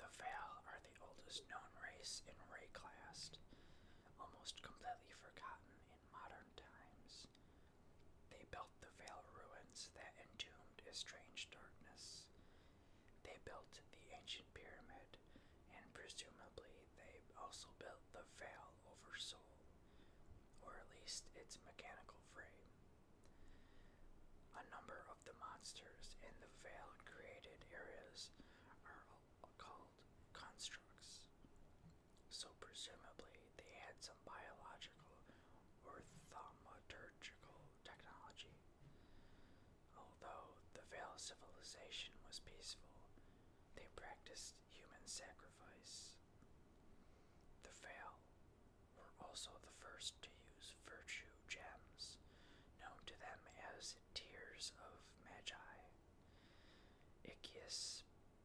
The Val are the oldest known race in Ray class. almost completely forgotten in modern times. They built the Vale ruins that entombed a strange darkness. They built the ancient pyramid, and presumably they also built the Vale over Sol, or at least its mechanical frame. A number of the monsters in the veil-created areas are called constructs, so presumably they had some biological or thaumaturgical technology. Although the Veil civilization was peaceful, they practiced human sacrifice. The Veil were also the first to use virtue gems, known to them as Tears of Magi. Icius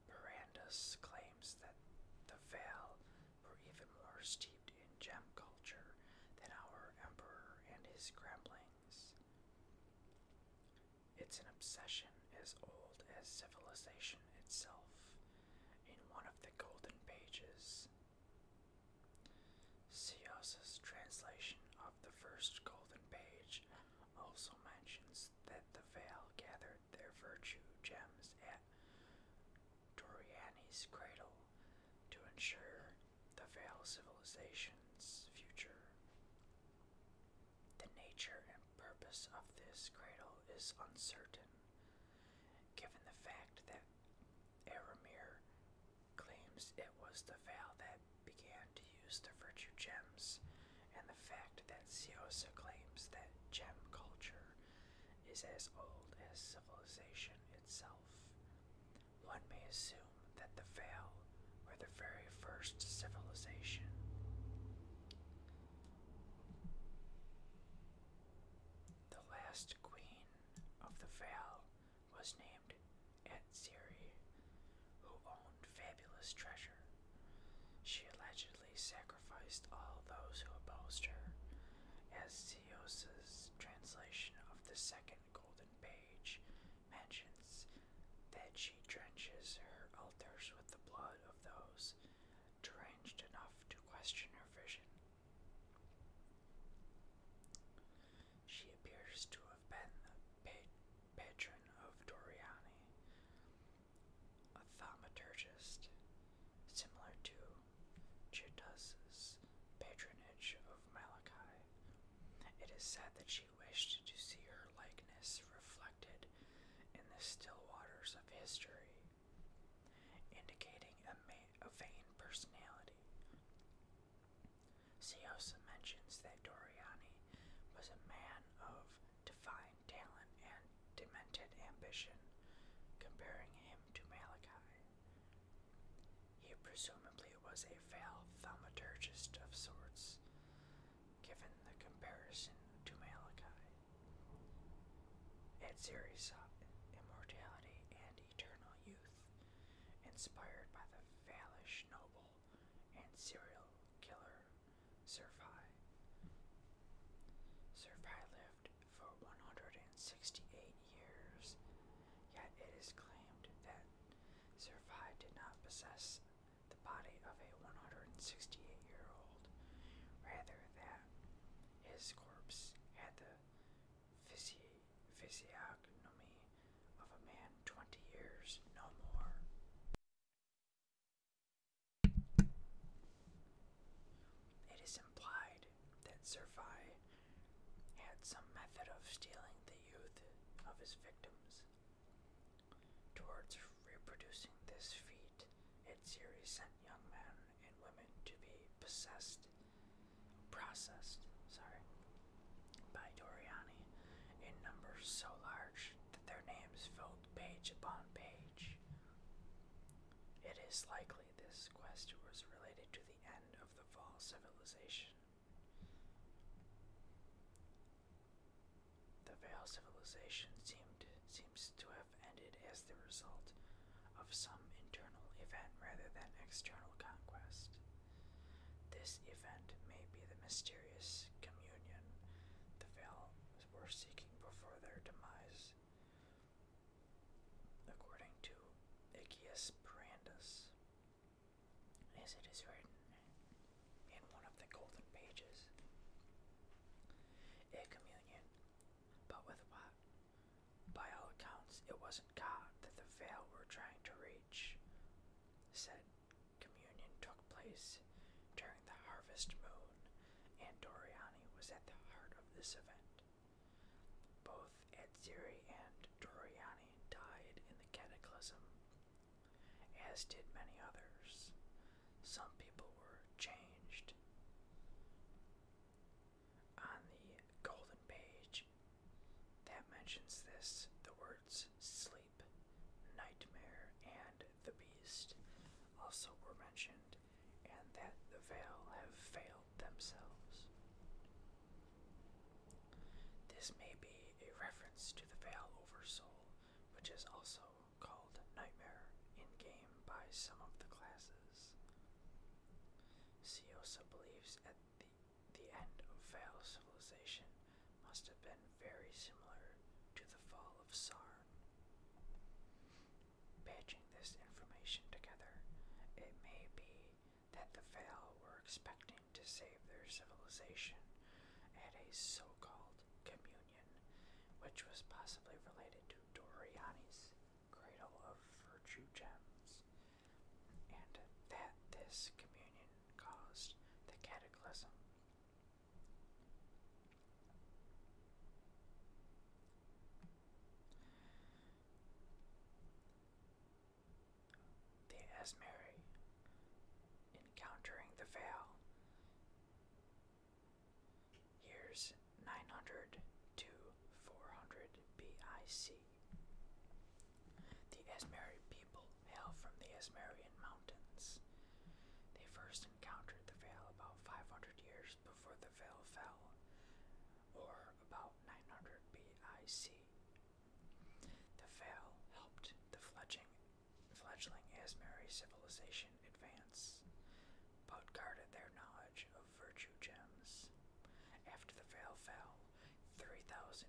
Brandus claims that the Veil were even more steeped in gem culture than our emperor and his gremlings. It's an obsession as old as civilization itself, in one of the golden pages. Sios's translation of the first golden page also mentions that the Vale gathered their virtue gems at Doriani's cradle to ensure the Vale civilization's future. The nature and purpose of this cradle is uncertain, given the fact that Aramir claims it was the Val that began to use the virtue gems, and the fact that Siosa claims that gem culture is as old as civilization itself. One may assume that the Vale were the very first civilization. The last queen of the Vale was named Atsiri, who owned fabulous treasure. She allegedly sacrificed all those who opposed her, as Seos's translation of the second golden page mentions that she drenches her altars with the blood of those deranged enough to question her vision. She appears to have been the patron of Doriani, a thaumaturgist, similar to Chitas's patronage of Malachi. It is said that she wished to see her likeness reflected in the still waters of history indicating a, vain personality. Ciosa mentions that Doriani was a man of divine talent and demented ambition, comparing him to Malachi. He presumably was a failed thaumaturgist of sorts, given the comparison to Malachi. Ed series immortality and eternal youth, inspired by the Valish noble and serial killer Servi. Servi lived for 168 years, yet it is claimed that Servi did not possess the body of a 168 year old, rather, that his corpse had the physiognomy of a man twenty years, no more. It is implied that Servi had some method of stealing the youth of his victims. Towards reproducing this feat, its series sent young man and women to be possessed, processed, sorry, by Doriani in numbers so large that their names filled page upon page. It is likely this quest was related to the end of the fall civilization. The Vale civilization seemed seems to have ended as the result of some internal event rather than external conquest. This event may be the mysterious communion the Val were seeking before their demise. According to Icius Brandus, as it is written in one of the golden pages, a communion, but with what? By all accounts, it wasn't God that the veil were trying to reach. Said communion took place during the harvest moon, and Doriani was at the heart of this event. Both Edziri and Doriani died in the cataclysm, as did many others. Some people were changed on the golden page that mentions this the words sleep, nightmare, and the beast also were mentioned, and that the veil have failed themselves. This may be a reference to the veil over soul, which is also called Nightmare in-game by some of the classes. Siosa believes that the, end of Vale civilization must have been very similar to the fall of Sarn. Patching this information together, it may be that the Vale were expecting to save their civilization at a so-called communion, which was possibly related to Doriani's Cradle of Virtue gems, and that this communion caused the cataclysm. The Asmeri, encountering the veil, Years 900 to 400 BIC. The Esmeri people hail from the Esmerian mountains. They first encountered the veil about 500 years before the veil fell, or about 900 BIC. The veil helped the fledging, fledgling Asmeri civilization advance, but guarded their knowledge of virtue gems. After the veil fell, 3,126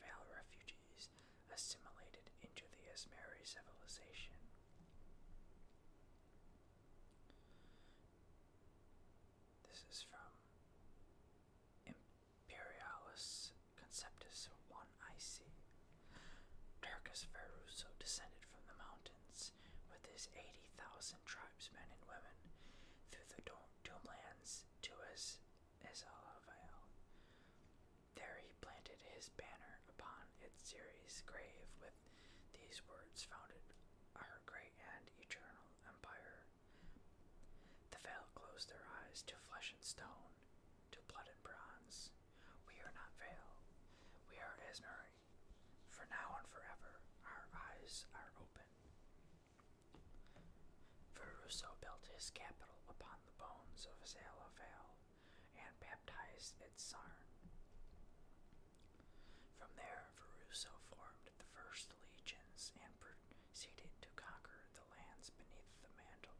Vale refugees assimilated into the Ismeri civilization. This is from Imperialis Conceptus 1 IC. Darkus Veruso descended from the mountains with his 80,000 tribesmen and women through the doomlands to his Isalavel. There he planted his banner upon its Ceres grave with these words founded our great and eternal empire. The veil closed their eyes to flesh and stone, to blood and bronze. We are not veil. We are Esmer for now and forever our eyes are open. Veruso built his capital upon the bones of Zalafel and baptized at Sarn. From there, Veruso formed the first legions and proceeded to conquer the lands beneath the mantle,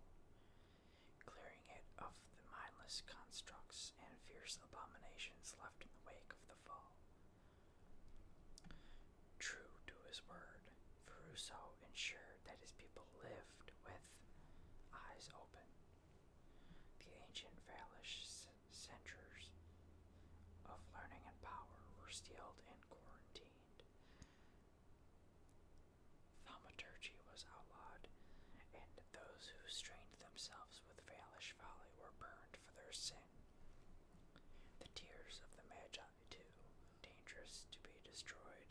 clearing it of the mindless constructs and fierce abominations left in the wake of the fall. True to his word, Ferruso ensured that his people lived with eyes open. The ancient Valish centers of learning and power were sealed and quarantined. Thaumaturgy was outlawed, and those who strained themselves with Valish folly were burned for their sin. The tears of the Magi, too, dangerous to be destroyed,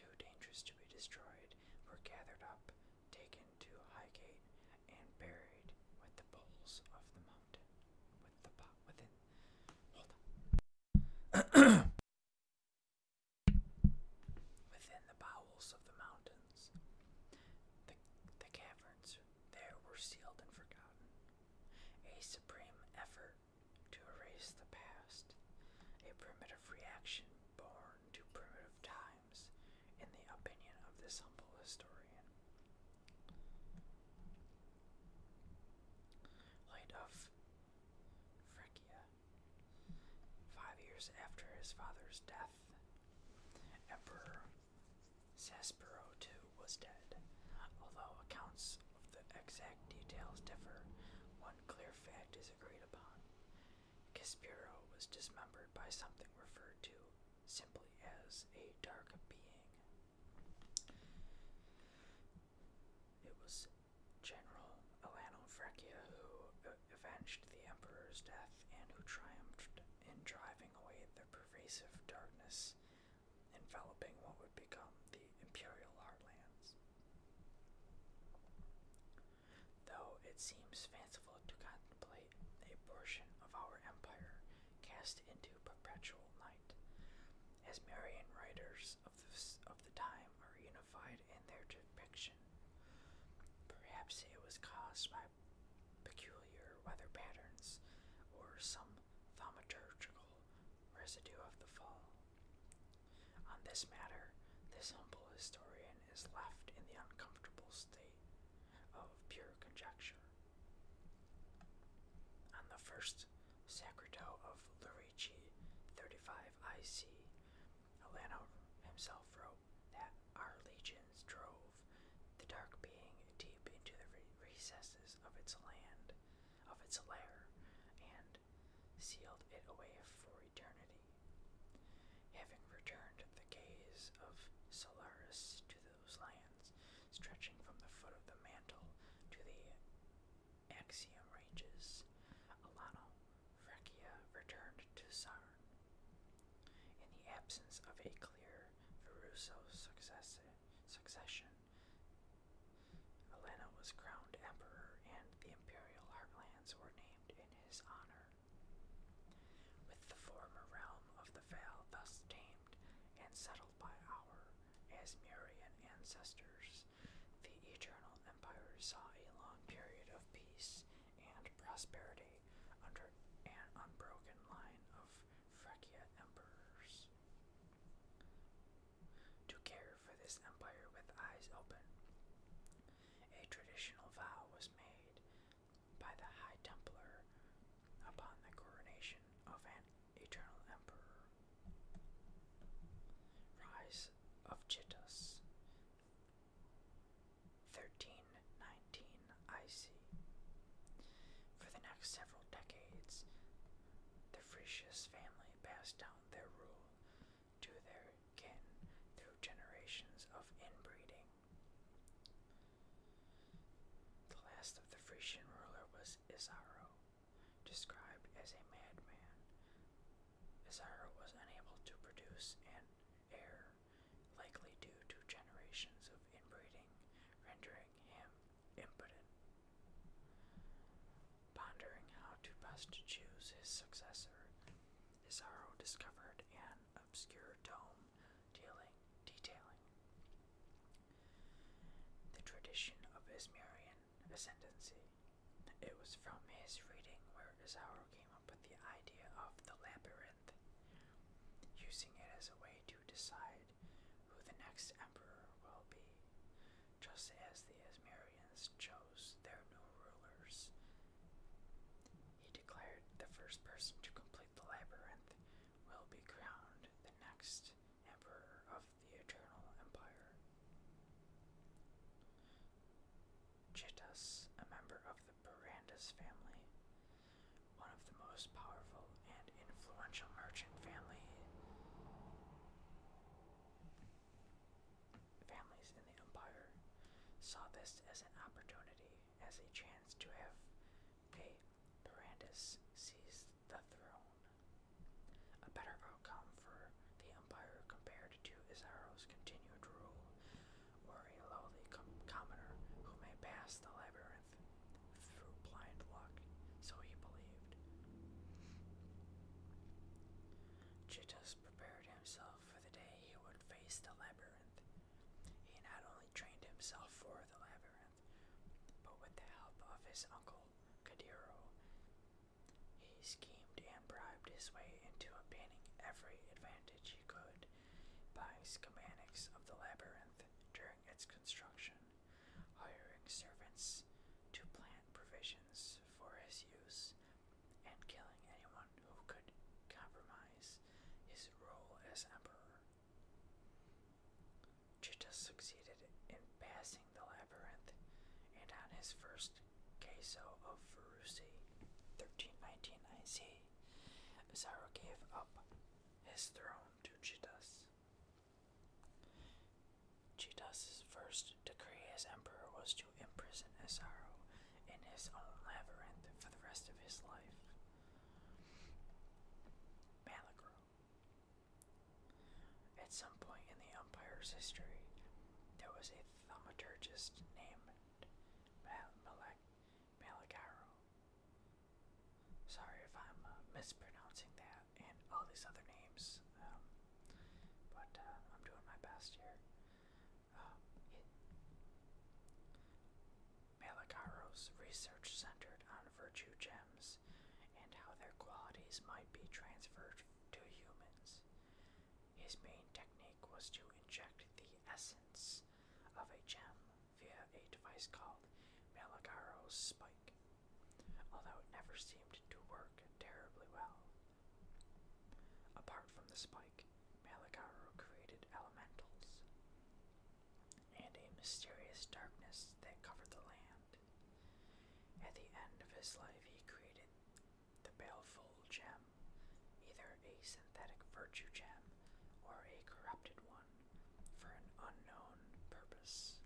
too dangerous to be destroyed, were gathered up, taken to Highgate, and buried with the bulls of the mountain. within, hold on. Within the bowels of the mountains, the, caverns there were sealed and forgotten. A supreme effort to erase the past, a primitive reaction born to primitive times, in the opinion of this humble historian. Light of Francia Five years after his father's death, Emperor Cespero II was dead. Although accounts of the exact details differ, one clear fact is agreed upon. Caspiro was dismembered by something referred to simply as a dark being. It was General Elano Freccia who uh, avenged the Emperor's death and who triumphed in driving away the pervasive darkness enveloping what would become the Imperial Heartlands. Though it seems fanciful to contemplate a portion of our empire cast into perpetual night, as Marian writers of the, of the time are unified in their depiction Perhaps it was caused by peculiar weather patterns or some thaumaturgical residue of the fall. On this matter, this humble historian is left in the uncomfortable state of pure conjecture. On the first Sacredo of Lurici 35 IC, Alano himself wrote that our legions drove the dark being deep into the recesses of its land, of its lair, and sealed it away for eternity. Having returned the gaze of Solaris to those lands, stretching from the foot of the mantle to the Axiom ranges, Alano Francia returned to Sarn. In the absence of a clear Veruso succession, Elena was crowned emperor and the imperial heartlands were named in his honor. With the former realm of the Vale thus tamed and settled by our Asmurian ancestors, the Eternal Empire saw a long period of peace and prosperity under an unbroken line of Francia emperors. To care for this empire with eyes open, a traditional vow was made by the High Templar upon the coronation of an eternal emperor. Rise of Chittus, 1319 IC. For the next several decades, the Frisius family passed down their rule to their kin through generations of inbreeding. The last of the Frisian ruler was Isaro, described as a madman. Isaro was unable to produce an heir likely due to generations of inbreeding, rendering him impotent. Pondering how to best choose his successor, Isaro discovered an obscure tome dealing, detailing the tradition of Ismarian ascendancy. It was from his reading where Isaro came up with the idea of the labyrinth, using it as a way to decide who the next emperor will be, just as the Asmarians chose their new rulers. He declared the first person to complete the labyrinth will be crowned the next emperor of the Eternal Empire. Chittus, a member of the family, one of the most powerful and influential merchant family families in the empire, saw this as an opportunity, as a chance to have a Barandis seize the throne. A better outcome for the empire compared to Isaro's continued rule or a lowly commoner who may pass the labyrinth through blind luck, so he believed. Chittus prepared himself for the day he would face the labyrinth. He not only trained himself for the labyrinth, but with the help of his uncle, Kadiro, he schemed and bribed his way into obtaining every advantage he could by schematics of the labyrinth during its construction, hiring servants to plant provisions for his use, and killing anyone who could compromise his role as emperor. Chitta succeeded in passing the labyrinth, and on his first Kaiso of Furusi, 1319 IC, day, gave up his throne to Chitas. Chitas' first decree as emperor was to imprison Isaro in his own labyrinth for the rest of his life. Malagro. At some point in the Empire's history, there was a thaumaturgist named Mal Malagaro. Sorry if I'm uh, mispronouncing that and all these other names, um, but uh, I'm doing my best here. Um, research centered on virtue gems and how their qualities might be transferred to humans. His main technique was to inject the essence of a gem via a device called Malagaro's spike, although it never seemed to work terribly well. Apart from the spike, Malagaro created elementals and a mysterious darkness that covered the land. At the end of his life, he created the Baleful Gem, either a synthetic virtue gem or a corrupted one for an unknown purpose.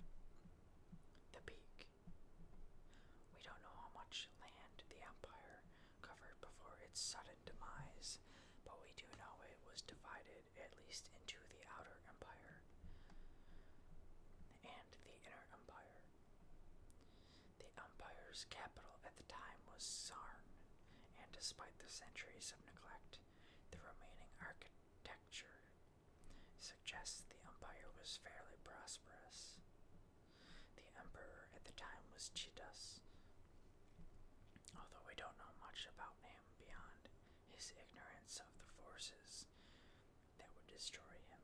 The Peak. We don't know how much land the Empire covered before its sudden demise, but we do know it was divided at least into the Outer Empire and the Inner Empire. The Empire's capital at the time was Sarn, and despite the centuries of neglect, the remaining architecture suggests the empire was fairly prosperous. The emperor at the time was Chidas, although we don't know much about him beyond his ignorance of the forces that would destroy him.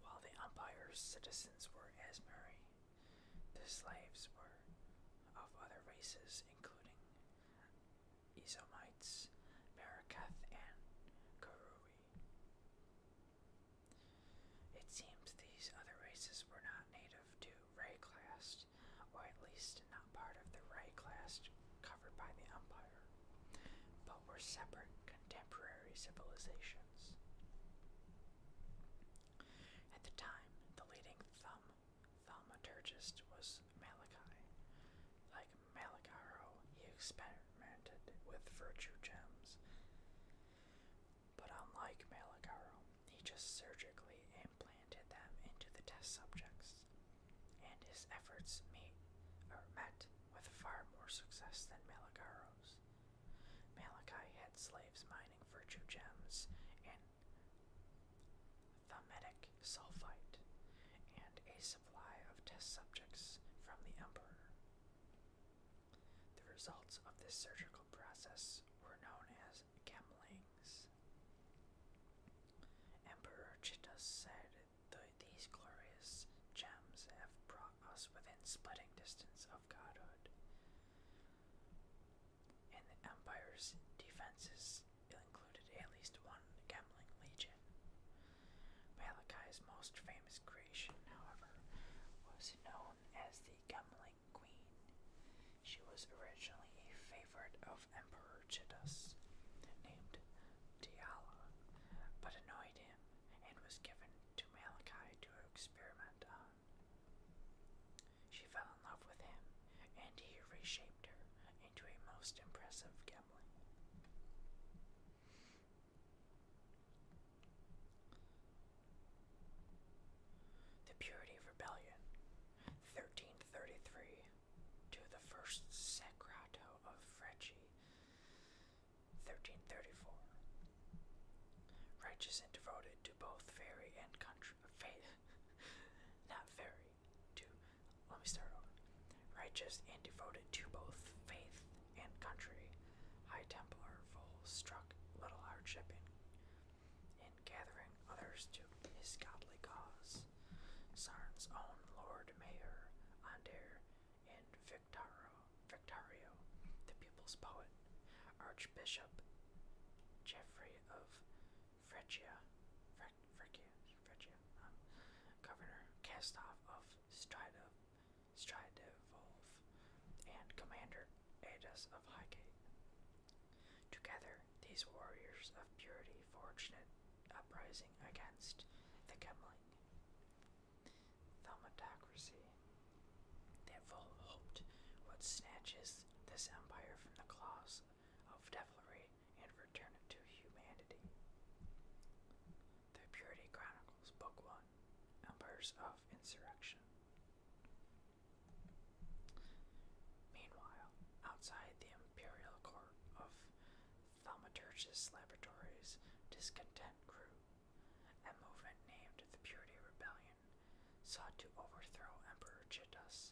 While the empire's citizens were Asmari, the slaves were of other races, including Esomites, Marakath, and Karui. It seems these other races were not native to Ray class, or at least not part of the Ray class covered by the Empire, but were separate contemporary civilizations. At the time, the leading thum thaumaturgist was Malachi. Like Malacharo, he experimented with virtue gems. But unlike Malakaro, he just surgically implanted them into the test subjects, and his efforts meet, or met with far more success than Malakaro's. Malachi had slaves mining virtue gems and Thamidic sulfite, and a supply of test subjects from the emperor. The results of this surgical process were known as gemlings. Emperor Chitta said these glorious gems have brought us within splitting distance of godhood. In the Empire's defenses it included at least one gambling legion. Malachi's most famous creation, however, was known as the Gambling Queen. She was originally a favorite of Emperor Chidus, named Diala, but annoyed him and was given to Malachi to experiment on. She fell in love with him, and he reshaped her into a most impressive gem. The Purity Rebellion, 1333 to the First Sacrato of Frecci, 1334. Righteous and devoted to both fairy and country. Faith. Not fairy. To. Let me start over. Righteous and devoted to both faith and country. High Templar full struck little hardship in, in gathering others to his godly cause. Sarn's own Lord Mayor, Ander, and Victaro, Victario, the people's poet, Archbishop Jeffrey of Frechia, Fre Frechia, Frechia um, governor Castoff of Stridov, Stridivov, and commander Adas of Highgate. Together, these warriors of purity fortunate uprising against the Gemling. Thaumatocracy that full hoped would snatch this empire from the claws of devilry and return it to humanity. The Purity Chronicles, Book 1 Empires of Insurrection. Meanwhile, outside the imperial court of Thaumaturgus Laboratories, discontent grew. A movement named the Purity Rebellion sought to overthrow Emperor Chittus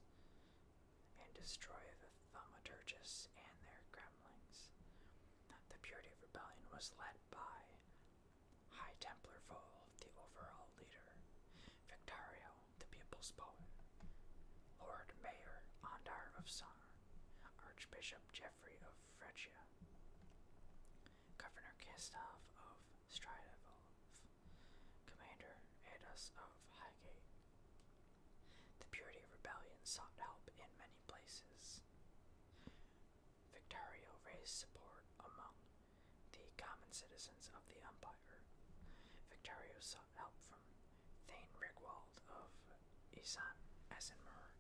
and destroy the Thaumaturgus and their gremlings. The Purity of Rebellion was led by High Templar Vole, the overall leader, Victario, the people's poet, Lord Mayor Ondar of Sar, Archbishop Geoffrey of Francia, Governor Kistov of Stride evolve. Commander, aid of Highgate. The Purity Rebellion sought help in many places. Victorio raised support among the common citizens of the Empire. Victorio sought help from Thane Rigwald of Isan Asinmur,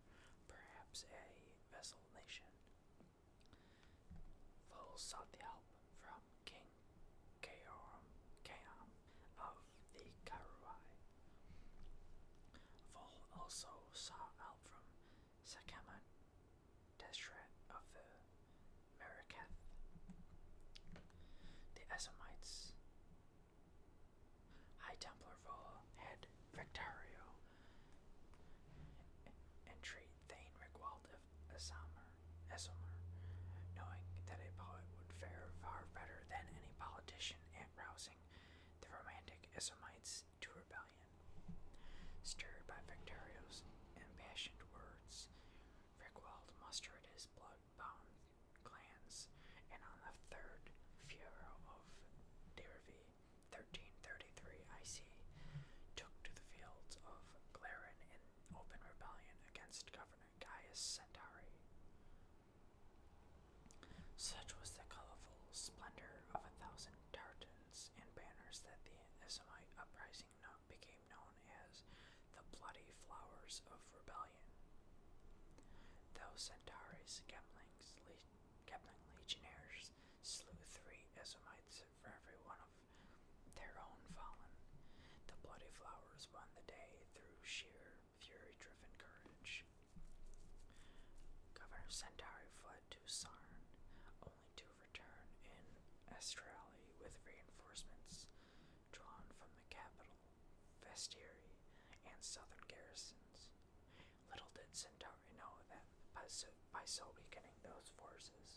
perhaps a vessel nation. Vole sought the help from King Kaam of the Karuai. Vole also sought help from Sakama Deshret of the Mereketh. The Esomites. High Templar Vola had Victario entreat Thane Rigwalda of Asamer, knowing that a poet would fare far better than any politician at rousing the romantic Esomites to rebellion. Stirred by Victorio's impassioned words, Rickwald mustered his blood-bound clans, and on the third Furor of Dervi, 1333 IC, took to the fields of Glarin in open rebellion against Governor Gaius Centauri. Such was the colorful splendor of a thousand tartans and banners that the Ismaite uprising became known as the Bloody Flowers of Rebellion. Though Centauri's Gepling's le Gepling legionnaires slew three Isomites for every one of their own fallen. The bloody flowers won the day through sheer fury-driven courage. Governor Centauri fled to Sarn, only to return in Estrali with reinforcements drawn from the capital, Vestieri, and southern garrisons. Little did Centauri know that by so weakening those forces,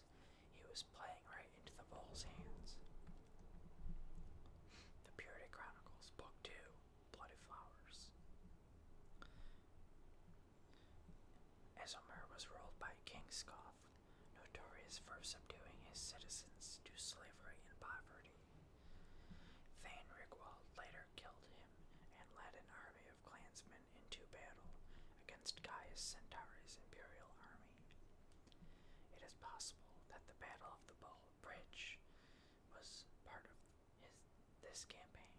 he was playing right into the bull's hands. The Purity Chronicles, Book 2, Bloody Flowers. Esomer was ruled by King Scoth, notorious for subduing his citizens to slavery and poverty. Thane Rigwald later killed him and led an army of clansmen into battle against Gaius Centauri's imperial army. It is possible that the Battle of the Bull Bridge was part of this campaign.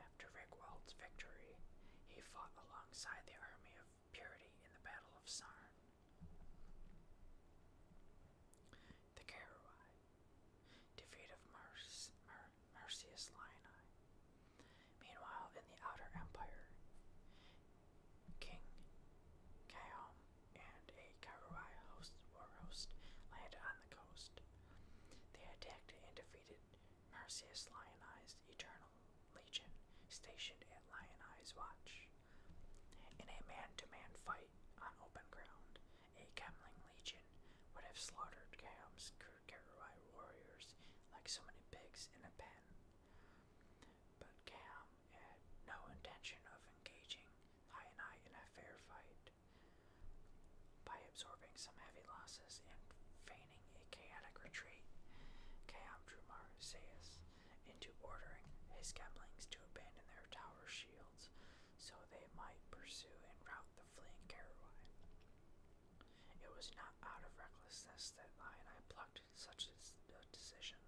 After Rigwald's victory, he fought alongside the army of Purity in the Battle of Sarn. The Caruai, defeat of Marcius Linii, Meanwhile, in the Outer Empire, King Kaom and a Karuai host war host landed on the coast. They attacked and defeated Marcius Lionized Eternal Legion stationed at Lionized Watch. In a man-to-man fight on open ground, a Kemling Legion would have slaughtered Kaom's crew other warriors like so many pigs in a pen. But Cam had no intention of engaging Hyanai in a fair fight. By absorbing some heavy losses and feigning a chaotic retreat, Cam drew Marseilles into ordering his Gemlings to abandon their tower shields so they might pursue and rout the fleeing Karawai. It was not out of recklessness that I and I plucked such a decision,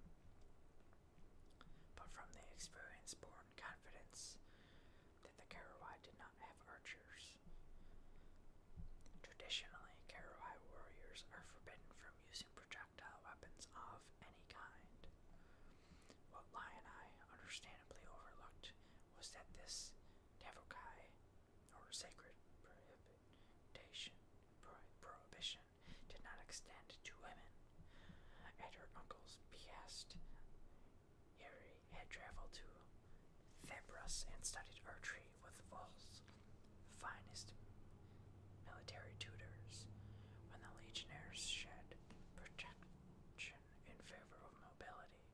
but from the experience born confidence that the Karawai did not have archers. Traditionally, Karawai warriors are forbidden from using projectile weapons of any kind. What and I, understandably overlooked was that this Tavokai, or sacred Prohibition, did not extend to women. At her uncle's behest, Harry had traveled to Thebros and studied archery with Wolf's finest military tutors. When the legionnaires shed protection in favor of mobility,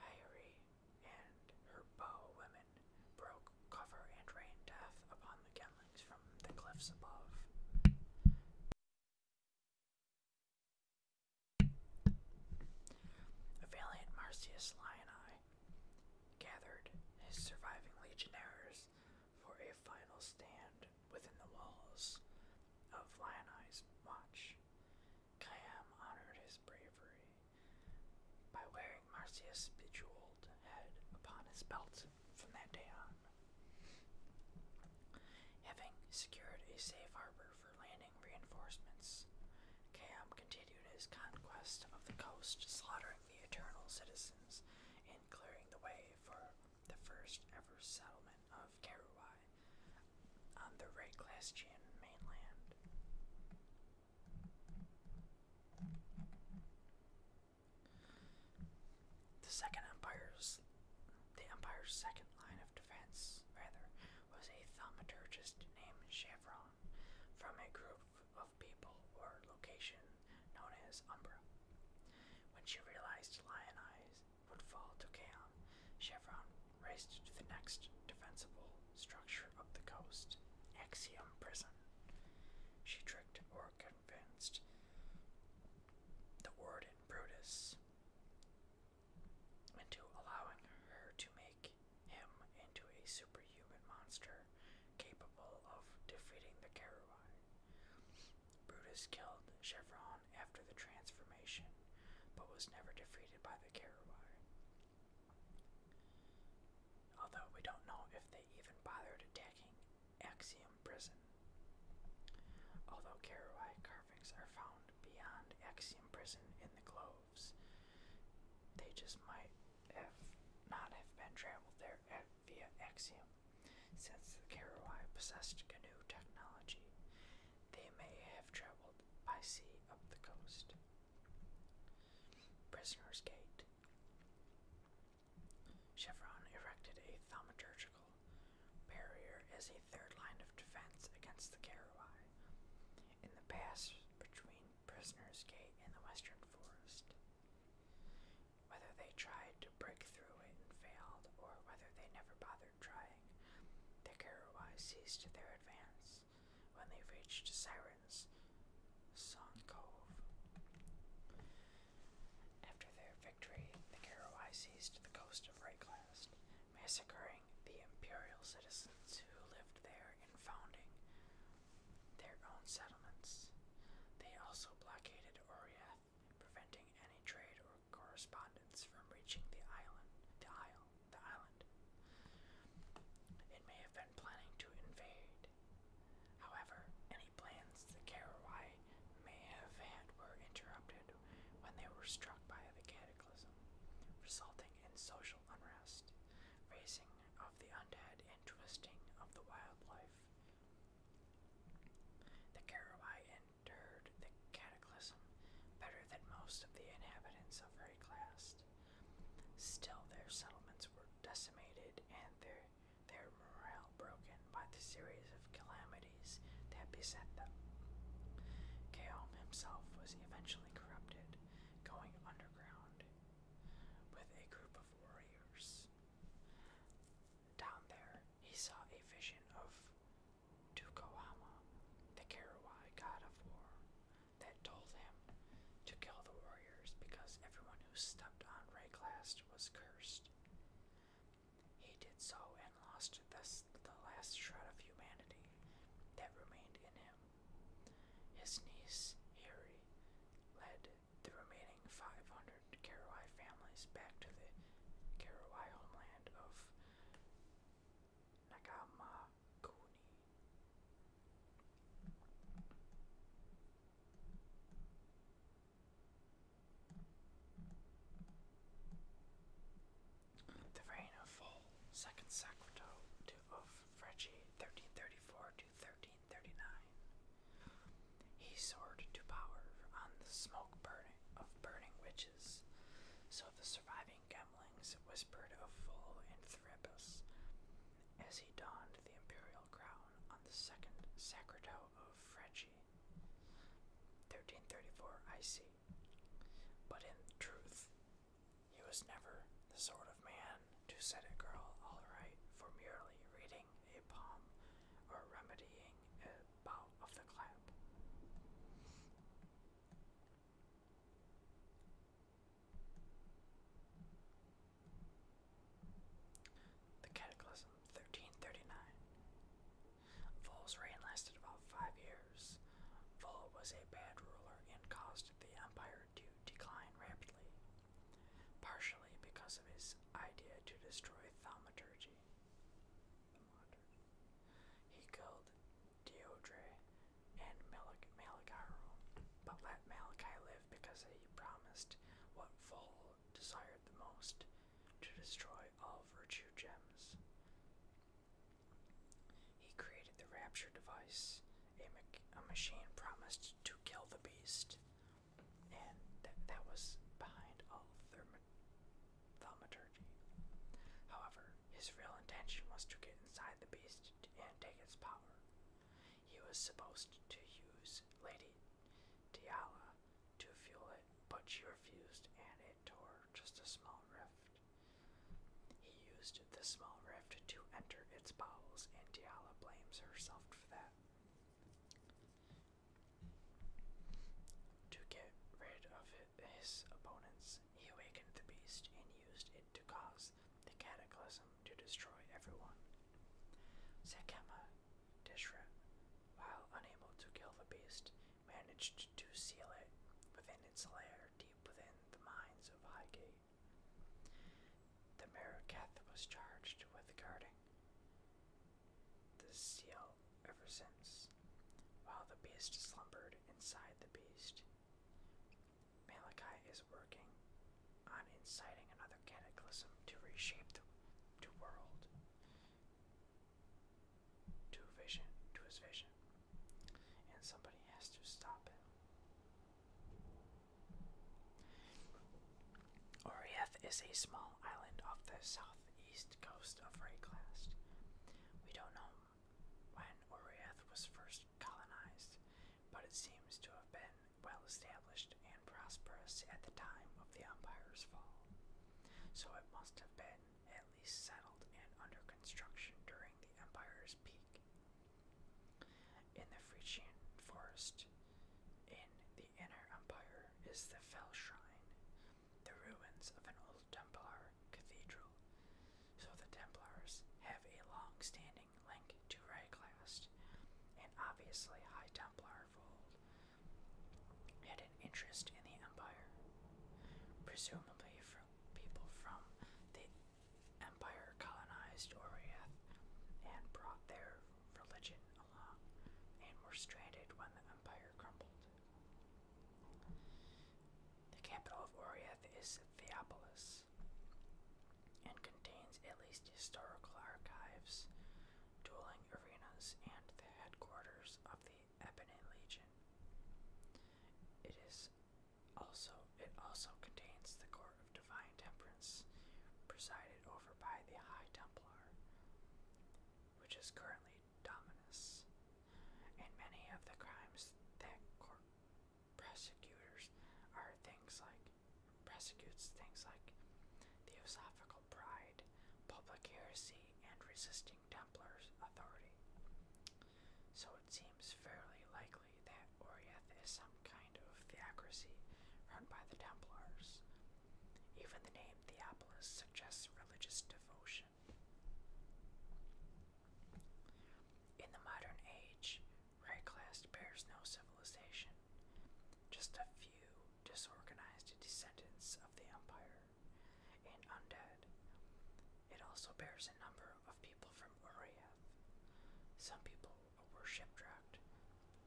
Hayri and her bow women broke cover and rained death upon the Kenlings from the cliffs above. valiant Marcius Lionii gathered his surviving legionnaires for a final stand within the walls of Lioni's watch. Khayyam honored his bravery by wearing Marcia's bejeweled head upon his belt from that day on. Having secured a safe harbor for landing reinforcements, Kham continued his conquest of the coast, slaughtering the eternal citizens and clearing the way for the first ever settlement of Karuai on the Reclassian mainland. The Second Empire's the Empire's second line of defense, rather, was a thaumaturgist named Chevron, from a group of people or location known as Umbra. When she realized Lion Eyes would fall to Chaon, Chevron raced to the next defensible structure up the coast, Axiom Prison. She tricked or convinced the warden Brutus into allowing her to make him into a superhuman monster capable of defeating the Carawai. Brutus killed Chevron after the transformation, but was never defeated by the Carawai. Although we don't know if they even bothered attacking Axiom Prison. Although Karawai carvings are found beyond Axiom Prison in the Gloves, they just might have not have been traveled there via Axiom. Since the Karawai possessed canoe technology, they may have traveled by sea up the coast. Prisoner's Gate. Chevron erected a thaumaturgical barrier as a third line of defense against the Karawai in the pass between Prisoner's Gate and the Western Forest. Whether they tried to break through it and failed, or whether they never bothered trying, the Karawai ceased their advance when they reached Sirens Song Cove. After their victory, the Karawai seized the coast of Reiklast, massacring the imperial citizens who lived there and founding their own settlements. They also blockaded Oriath, preventing any trade or correspondence from reaching the island the isle the island. It may have been planning to invade. However, any plans the Karawai may have had were interrupted when they were struck by the cataclysm, resulting in social unrest, raising of the undead, and twisting of the wildlife. The Karawai endured the cataclysm better than most of the inhabitants of her Still, their settlements were decimated and their, their morale broken by the series of calamities that beset them. Kaom himself was eventually corrupted, going underground with a group of warriors. Down there, he saw a vision of Tukohama, the Karawai god of war, that told him to kill the warriors because everyone who stepped on Rayclast was cursed. He did so and lost thus the last shred of humanity that remained in him. His niece, Hiri, led the remaining 500 Karawai families back to the Karawai homeland of the reign of Full, second Sakuto to of Fregi, thirteen thirty four to thirteen thirty nine. He soared to power on the smoke burning of burning witches, so the surviving having whispered of Full and Thrappus as he donned the imperial crown on the second Sacrato of Fregi, 1334 IC. But in truth, he was never the sort of man to set a girl all right for merely reading a poem or remedying a bout of the clap. The Cataclysm, 1339. Vol's reign lasted about five years. Vol was a bad ruler and caused the empire to decline rapidly, partially because of his idea to destroy thaumaturgy. He killed Deodre, and Malagaro, but let Malachi live because he promised what Vol desired the most to destroy all virtue gems. He created the rapture device, a, a machine promised to kill the beast, and that was behind all thermo However, his real intention was to get inside the beast and take its power. He was supposed to use Lady Diala to fuel it, but she refused and it tore just a small rift. He used the small rift to enter its bowels, and Diala blames herself for that. To get rid of his opponents, he awakened the beast and used it to cause the cataclysm to destroy everyone. Sekema, Dishra, while unable to kill the beast, managed to seal it within its lair deep within the mines of Highgate. The Meraketh was charged with guarding the seal ever since, while the beast slumbered inside the beast. Malachi is working on inciting another cataclysm to reshape the, world to vision to his vision. And somebody has to stop it. Oriath is a small island off the southeast coast of Rayclast. We don't know when Oriath was first colonized, but it seems to have been well established and prosperous at the time of the Empire's fall, so it must have been at least settled and under construction during the Empire's peak. In the Frisian forest, in the Inner Empire, is the Fell Shrine, the ruins of an old Templar cathedral. So the Templars have a long standing understanding link to Rayclast, and obviously High Templar of had an interest in the Empire, presumably from people from the Empire colonized Oriath and brought their religion along, and were stranded when the Empire crumbled. The capital of Oriath is Theopolis, and contains at least historical archives, dueling arenas, and the headquarters of the Ebony Legion. It is also it also contains the court of divine temperance, presided over by the High Templar, which is currently Dominus, and many of the crimes that court prosecutors are things like prosecutes things like theosophical pride, public heresy, and resisting Templars' authority. So it seems fairly likely that Oriath is some kind of theocracy run by the Templars. Even the name Theopolis suggests religious devotion. In the modern age, Rayclast bears no civilization, just a few disorganized descendants of the Empire and undead. It also bears a number of people from Uriath. Some people were shipwrecked,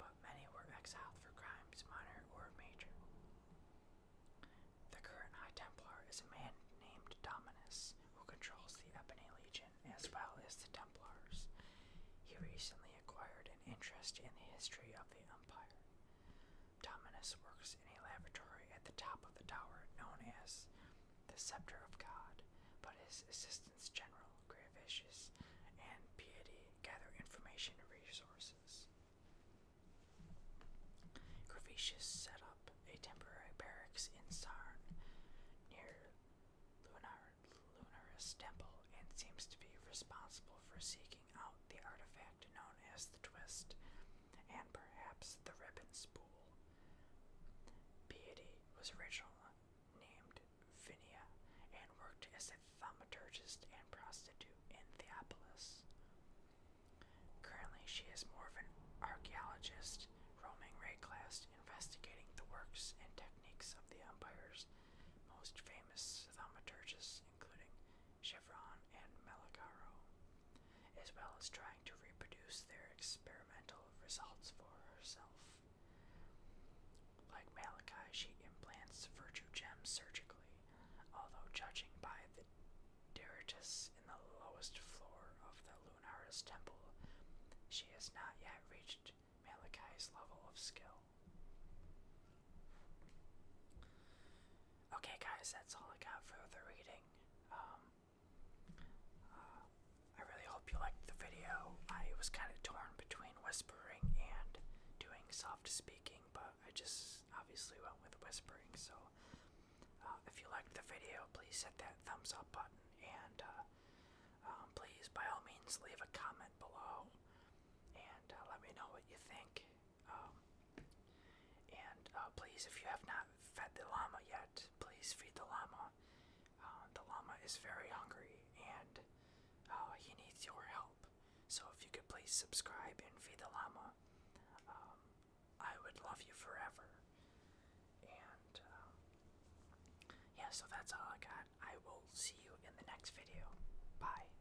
but many were exiled for crimes minor or major. The current High Templar is a man named Dominus who controls the Ebony Legion as well as the Templars. He recently acquired an interest in the history of the Empire. Dominus works in a laboratory at the top of the tower known as the Scepter of God, but his assistants General Gravisius and Piety gather information and resources. Gravisius set up a temporary barracks in Sarn near Lunar, Lunarus Temple and seems to be responsible for seeking out the artifact known as the Twist and perhaps the Ribbon Spool. Piety was originally named Vinia and worked as a thaumaturgist and prostitute in Theopolis. Currently, she is more of an archaeologist, roaming raid class investigating the works and techniques of the Empire's most famous thaumaturges, including Chevron and Malagaro, as well as trying to reproduce their experimental results for herself. Like Malachi, she implants virtue gems surgically, although judging by the detritus in the lowest floor of the Lunara's temple, she has not yet reached Malachi's level of skill. Okay, guys, that's all I got for the reading. Um, uh, I really hope you liked the video. I was kind of torn between whispering and doing soft speaking, but I just obviously went with whispering. So, uh, if you liked the video, please hit that thumbs up button and uh, um, please by all means leave a comment below and uh, let me know what you think. Um, and uh, please, if you have not fed the llama yet, please feed the llama. Uh, the llama is very hungry and uh, he needs your help. So if you could please subscribe and feed the llama, um, I would love you forever. And um, yeah, so that's all I got. I will see you in the next video. Bye.